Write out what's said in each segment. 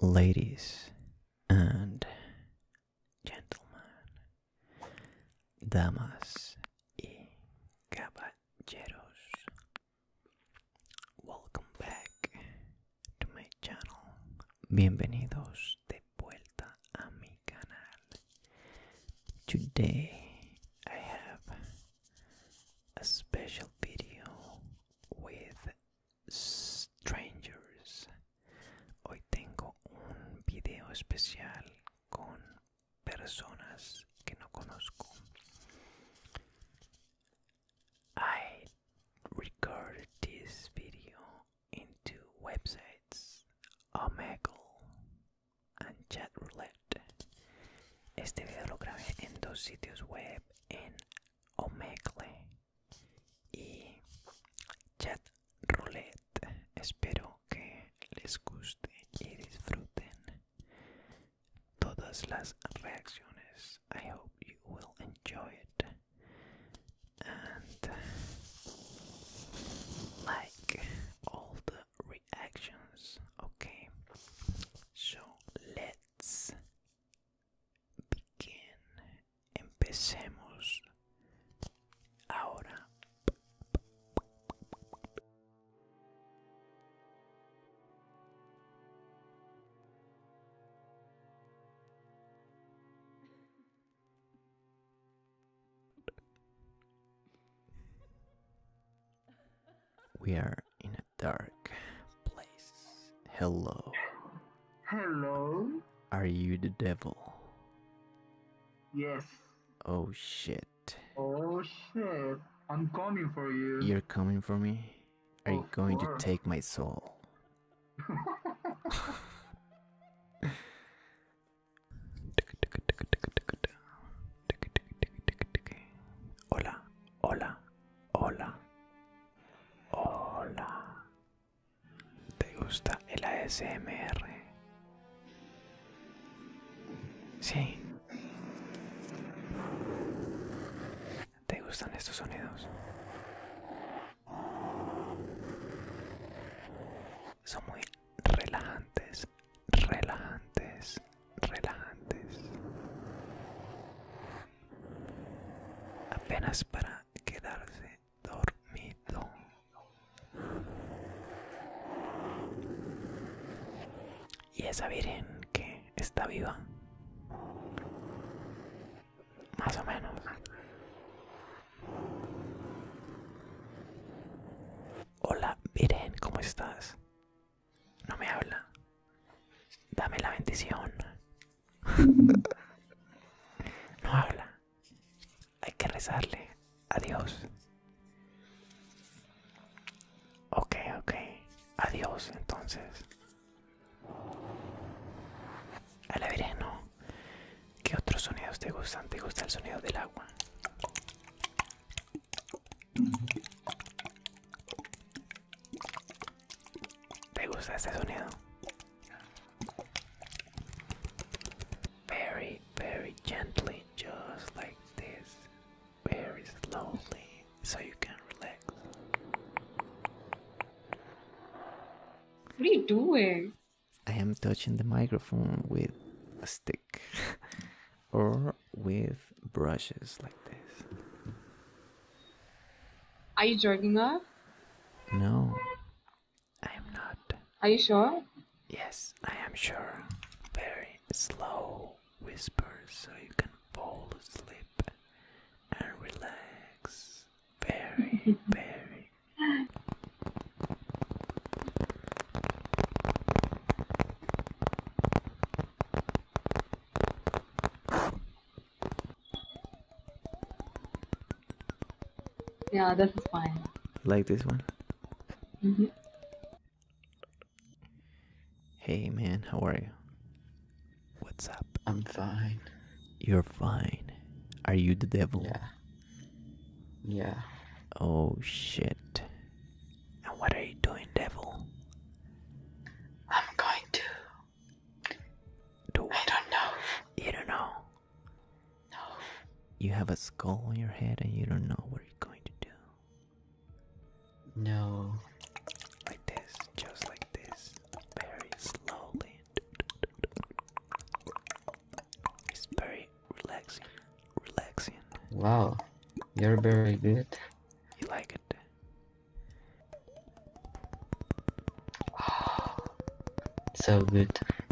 Ladies and gentlemen, damas y caballeros, welcome back to my channel. Bienvenidos de vuelta a mi canal. Today I have a special video with strangers. Hoy tengo un video especial con personas que no conozco. I recorded this video in websites, Omegle and Chatroulette. Este video lo grabé en dos sitios web, en Omegle y Chatroulette. Espero que les guste y disfruten todas las reacciones I hope you will enjoy it and like all the reactions. Okay, so let's begin. Empecemos ahora we are in a dark place. Hello. Hello. Are you the devil? Yes. Oh shit. Oh shit. I'm coming for you. You're coming for me? Are you oh, going to take my soul? hola, hola, hola, hola. ¿Te gusta el ASMR? Sí. ¿Te gustan estos sonidos? Son muy relajantes, relajantes, relajantes. Apenas para quedarse dormido y esa virgen que está viva. Más o menos. Hola, Virgen, ¿cómo estás? No me habla. Dame la bendición. no habla. Hay que rezarle. Adiós. Ok, ok. Adiós entonces. A la ¿no? ¿Qué otros sonidos te gustan? ¿Te gusta el sonido del agua? ¿Te gusta este sonido? Very, very gently, just like this. very slowly so you can relax. What are you doing? I am touching the microphone with a stick or with brushes like this. Are you joking? up? No, I am not. Are you sure? Yes, I am sure. Very slow whisper so you can fall asleep and relax. Very, very. Yeah, this is fine. Like this one? Mm-hmm. Hey man, how are you? What's up? I'm fine. You're fine. Are you the devil? Yeah. Yeah. Oh shit. what are you doing, devil? I'm going to. Do I don't know. You don't know. No. You have a skull on your head and you don't know what you're going to do. No. Like this, just like this, very slowly. It's very relaxing. Relaxing. Wow, you're very good. You like it? so good.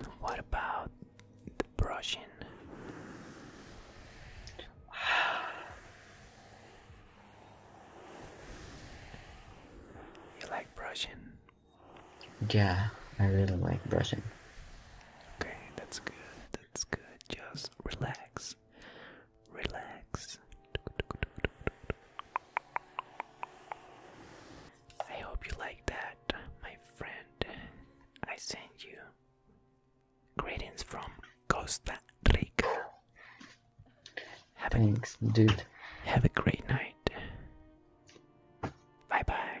And what about the brushing? you like brushing? Yeah, I really like brushing. Okay, that's good. That's good. Just relax. Relax. I hope you like that, my friend. I send you greetings from Costa Rica. Have Thanks, a, dude. Have a great night. Bye bye.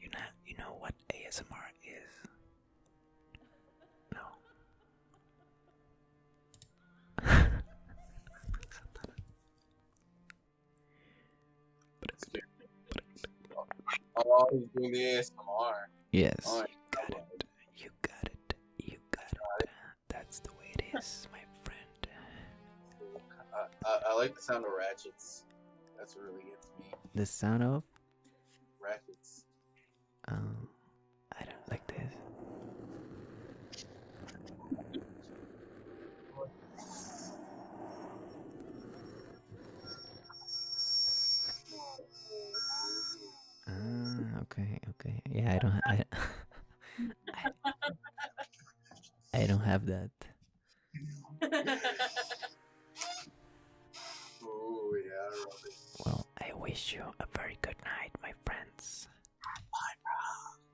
You know, you know what ASMR is? No. Oh, Yes. you got it. You got it. You got it. That's the way it is, my friend. I like the sound of ratchet. That's what really gets me. The sound of Rackets. Um, I don't like this. Ah, okay, okay. Yeah, I don't. I, I don't have that. Oh, well, I wish you a very good night, my friends.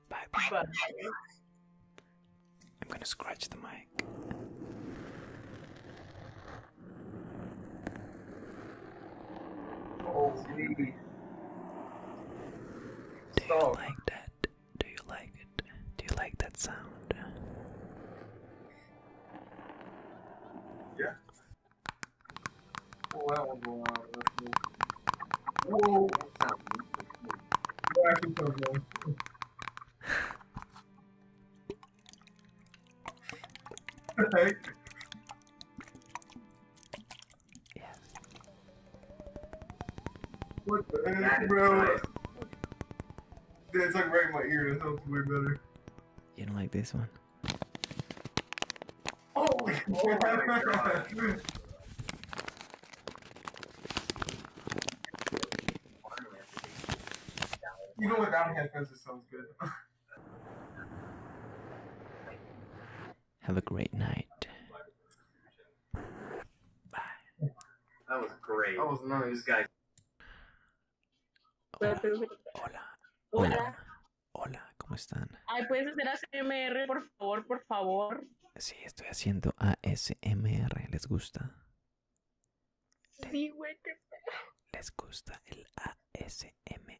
Bye, Bye, I'm gonna scratch the mic. Oh, really? Do oh. like that? Do you like it? Do you like that sound? Yeah. Well, uh, well, well, well. Yes. What the heck, bro? it's like right in my ear. That sounds way better. You like this one? Oh, oh my headphones it sounds good. Have a great night. That was great. was Hola. Hola. Hola. Hola. ¿cómo están? Ay, ¿puedes hacer ASMR, por favor, por favor? Sí, estoy haciendo ASMR. ¿Les gusta? Sí, güey, ¿Les gusta el ASMR?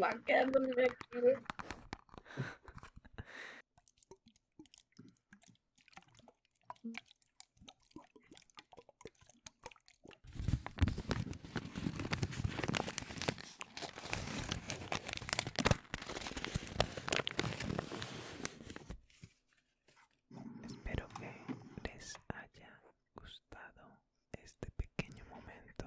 Bak aquí Espero que les haya gustado este pequeño momento